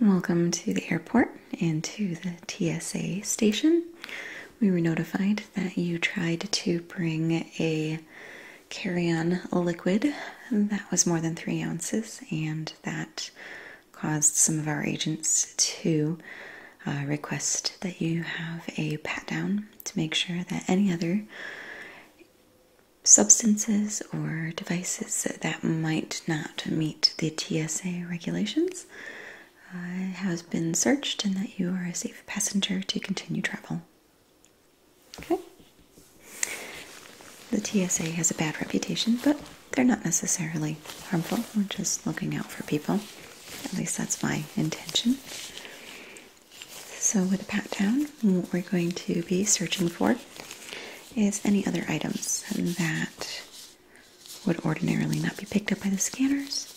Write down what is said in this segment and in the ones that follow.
Welcome to the airport and to the TSA station. We were notified that you tried to bring a carry on liquid that was more than three ounces, and that caused some of our agents to uh, request that you have a pat down to make sure that any other substances or devices that might not meet the TSA regulations has been searched and that you are a safe passenger to continue travel. Okay. The TSA has a bad reputation, but they're not necessarily harmful. We're just looking out for people. At least that's my intention. So, with a pat down, and what we're going to be searching for is any other items that would ordinarily not be picked up by the scanners,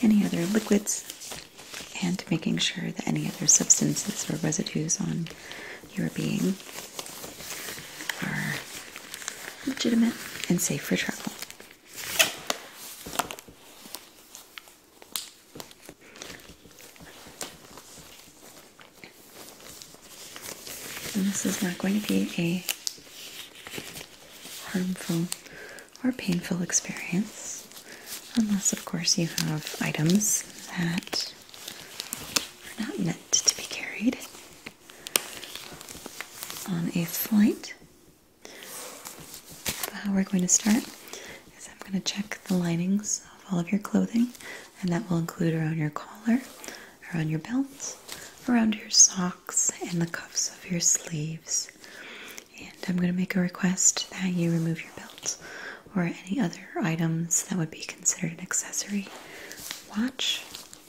any other liquids, and making sure that any other substances or residues on your being are legitimate and safe for travel this is not going to be a harmful or painful experience, unless, of course, you have items that are not meant to be carried on a flight. But we're going to start is I'm going to check the linings of all of your clothing, and that will include around your collar, around your belts, around your socks, and the cuffs of your sleeves. And I'm going to make a request that you remove your belts or any other items that would be considered an accessory. Watch,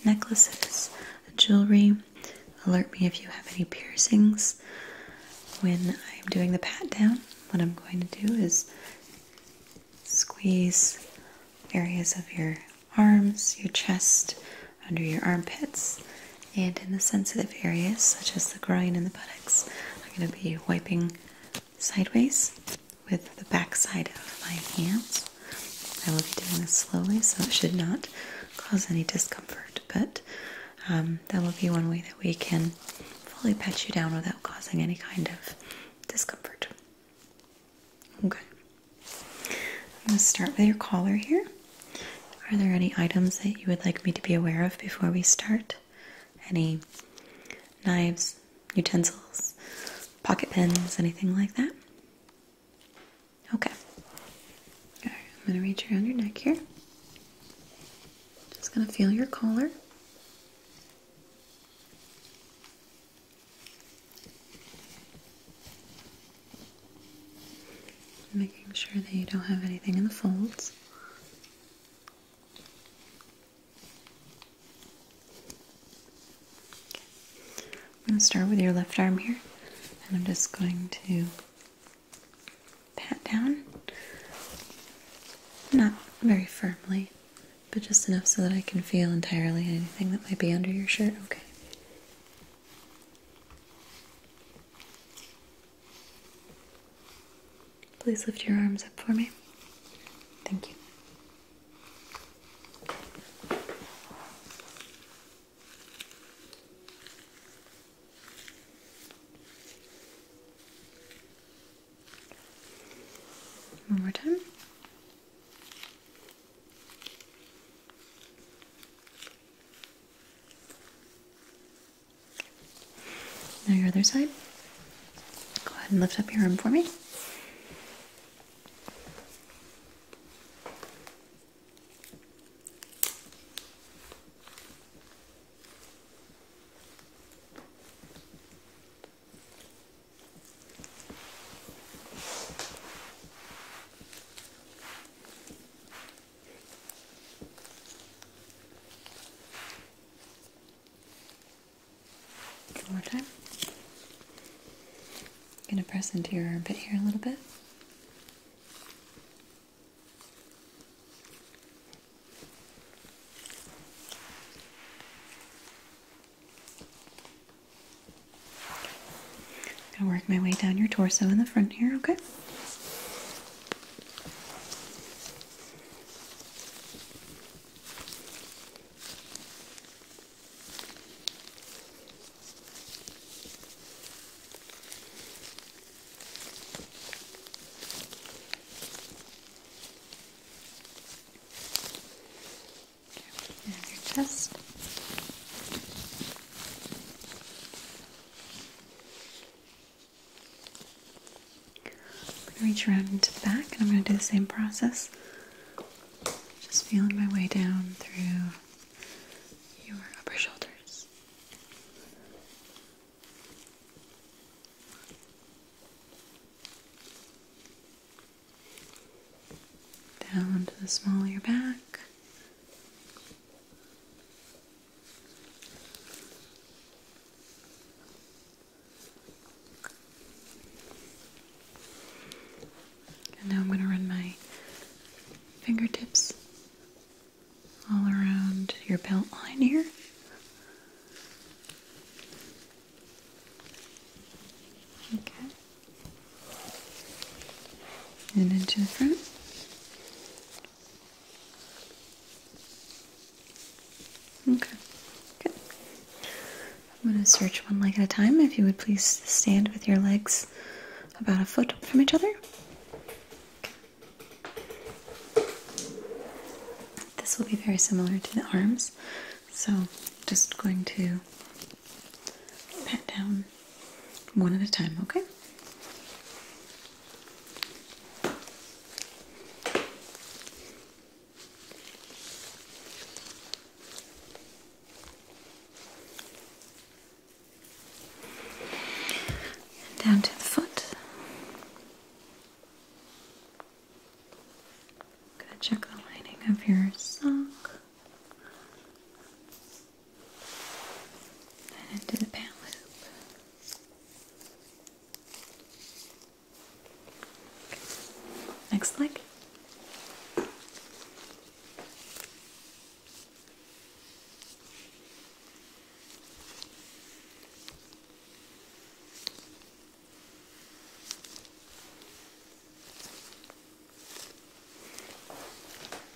necklaces, jewelry. Alert me if you have any piercings. When I'm doing the pat down, what I'm going to do is Squeeze areas of your arms, your chest, under your armpits, and in the sensitive areas such as the groin and the buttocks. I'm going to be wiping sideways with the backside of my hands. I will be doing this slowly so it should not cause any discomfort, but um, that will be one way that we can fully pet you down without causing any kind of discomfort. Okay. I'm going to start with your collar here. Are there any items that you would like me to be aware of before we start? Any knives, utensils, pocket pins, anything like that? Okay. All right, I'm going to reach around your neck here. Just going to feel your collar. Making sure that you don't have anything in the folds. I'm going to start with your left arm here, and I'm just going to pat down not very firmly, but just enough so that I can feel entirely anything that might be under your shirt. Okay. Please lift your arms up for me. Thank you. One more time. Now your other side. Go ahead and lift up your arm for me. One more time. I'm going to press into your armpit here a little bit. I'm gonna work my way down your torso in the front here, okay? And your chest. I'm going to reach around into the back and I'm going to do the same process. Just feeling my way down through your upper shoulders. Down to the smaller back. And now I'm going to run my fingertips all around your belt line here. Okay. And into the front. Okay. I'm going to search one leg at a time. If you would please stand with your legs about a foot from each other. This will be very similar to the arms, so just going to pat down one at a time, okay? down to the foot. I'm gonna check the lining of your sock and into the pant loop. Next leg.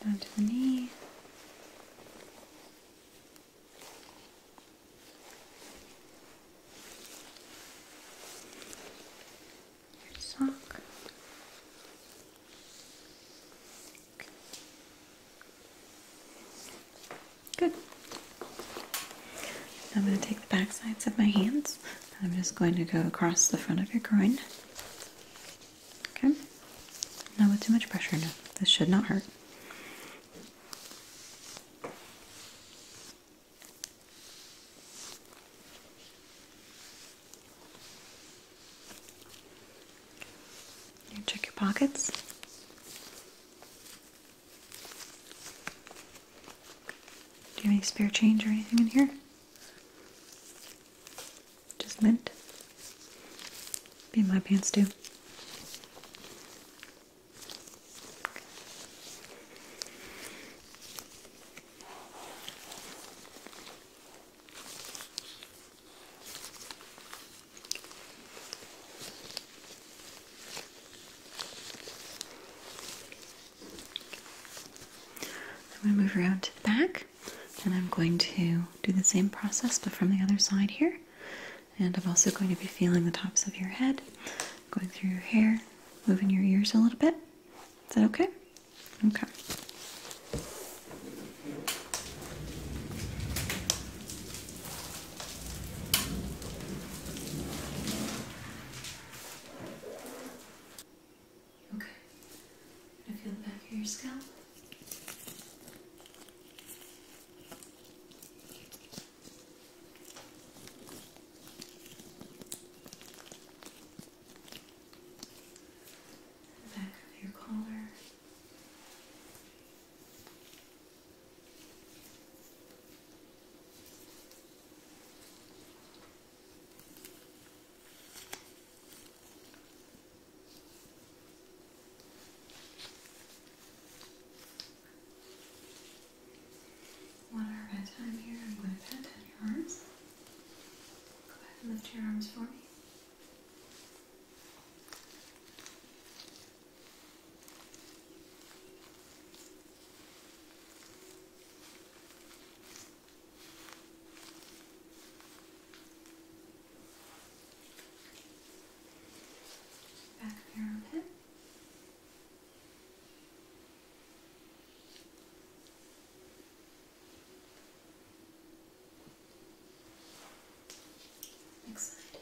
Down to the knee. Your sock. Okay. Good. I'm going to take the back sides of my hands I'm just going to go across the front of your groin. Okay? Not with too much pressure, This should not hurt. You check your pockets. Do you have any spare change or anything in here? Just mint. Be in my pants too. I'm going to move around to the back and I'm going to do the same process but from the other side here. And I'm also going to be feeling the tops of your head, going through your hair, moving your ears a little bit. Is that okay? Okay. Okay. I feel the back of your scalp. The back of your collar. One more at here. I'm going to pat down your arms. Go ahead and lift your arms for me. Back of your armpit. Next side.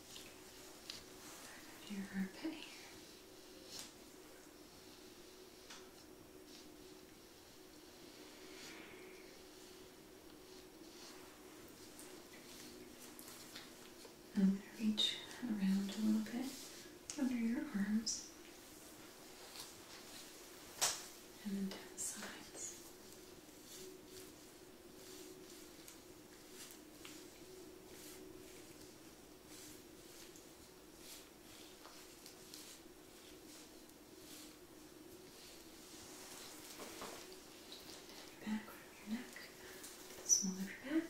Your armpit I'm going to reach around a little bit under your arms and then down the sides. Back from your neck, the small of your back.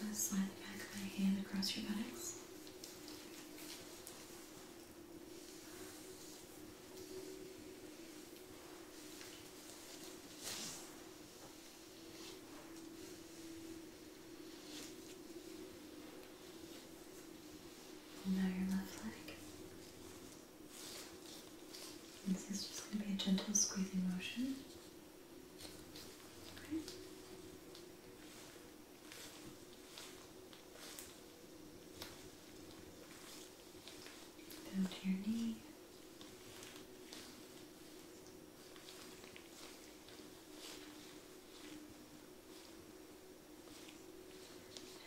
I'm going to slide the back of my hand across your buttocks. And now your left leg. this is just going to be a gentle squeezing motion. Down to your knee.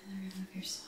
And the rim your sock.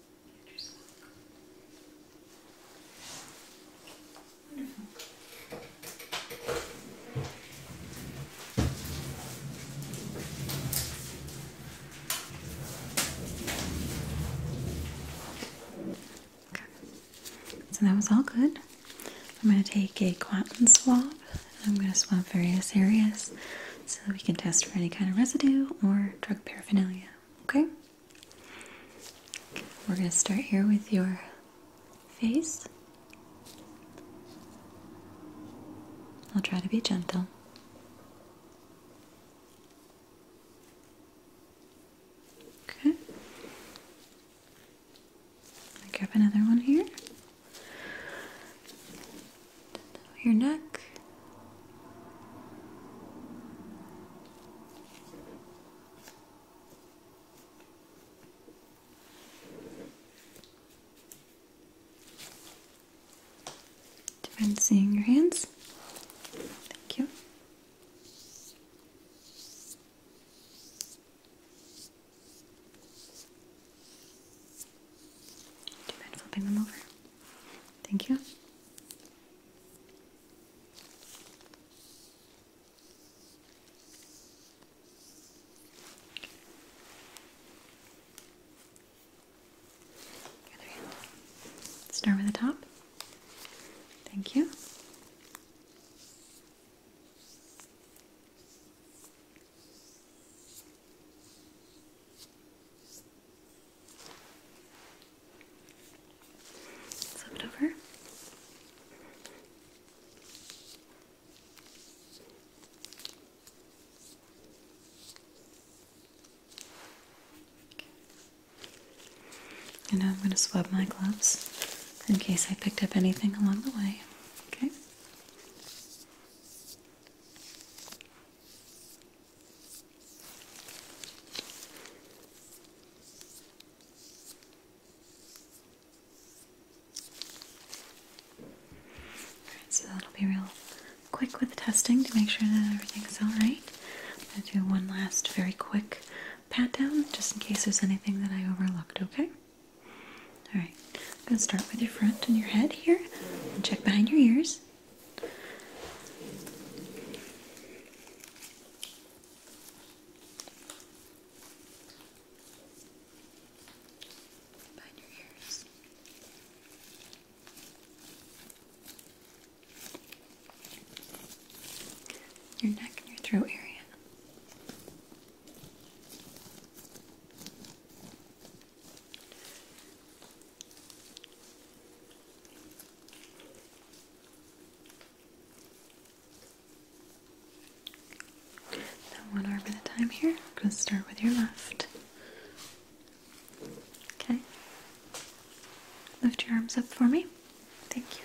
So that was all good. I'm going to take a cotton swab and I'm going to swab various areas so that we can test for any kind of residue or drug paraphernalia. Okay? We're going to start here with your face. I'll try to be gentle. Okay. grab another one here your neck. Do you mind seeing your hands? Thank you. Do you mind flipping them over? Thank you. Start with the top. Thank you. Flip it over. And now I'm going to swab my gloves in case I picked up anything along the way. Okay? Alright, so that'll be real quick with testing to make sure that everything's alright. I'm going to do one last very quick pat down just in case there's anything that I overlooked, okay? Alright, I'm going to start with your front and your head here and check behind your ears your ears. Your neck and your throat area. Now one arm at a time here. I'm going to start with your left. Okay. Lift your arms up for me. Thank you.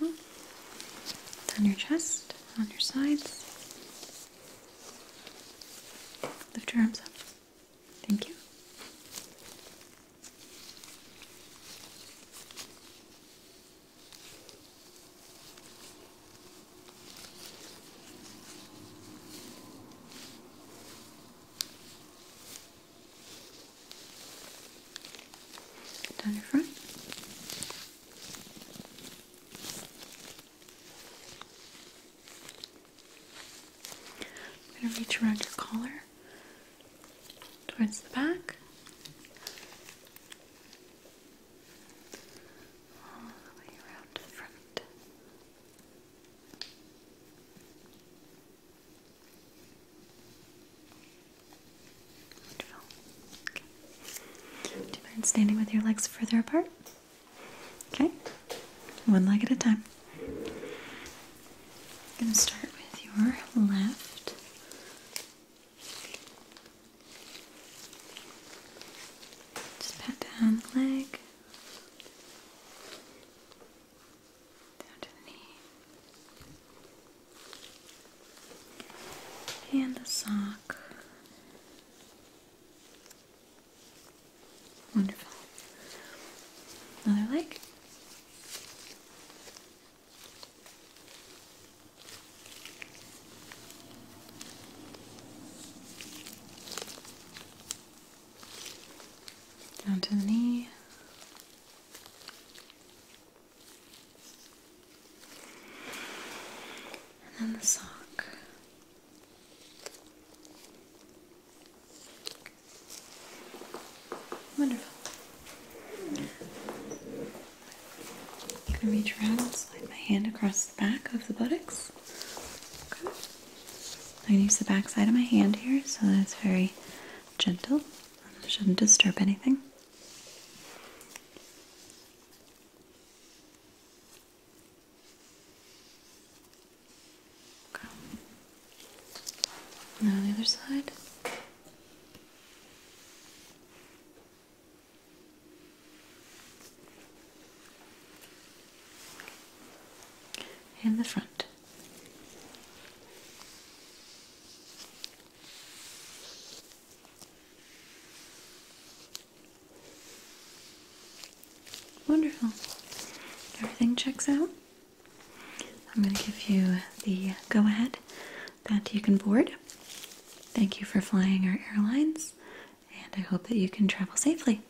Wonderful. on your chest, on your sides. Lift your arms up. Thank you. Down your front. I'm going to reach around your collar towards the back. All the way around the front. Do you mind standing with your legs further apart? Okay. One leg at a time. I'm going to start with your left. Just pat down the leg down to the knee, and the sock. Wonderful. Another leg. Down to the knee. And then the sock. Wonderful. I'm going to reach around slide my hand across the back of the buttocks. Okay. I'm going to use the backside of my hand here so that's very gentle. Shouldn't disturb anything. Okay. Now the other side. And the front. Wonderful. Everything checks out. I'm going to give you the go ahead that you can board. Thank you for flying our airlines, and I hope that you can travel safely.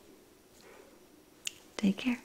Take care.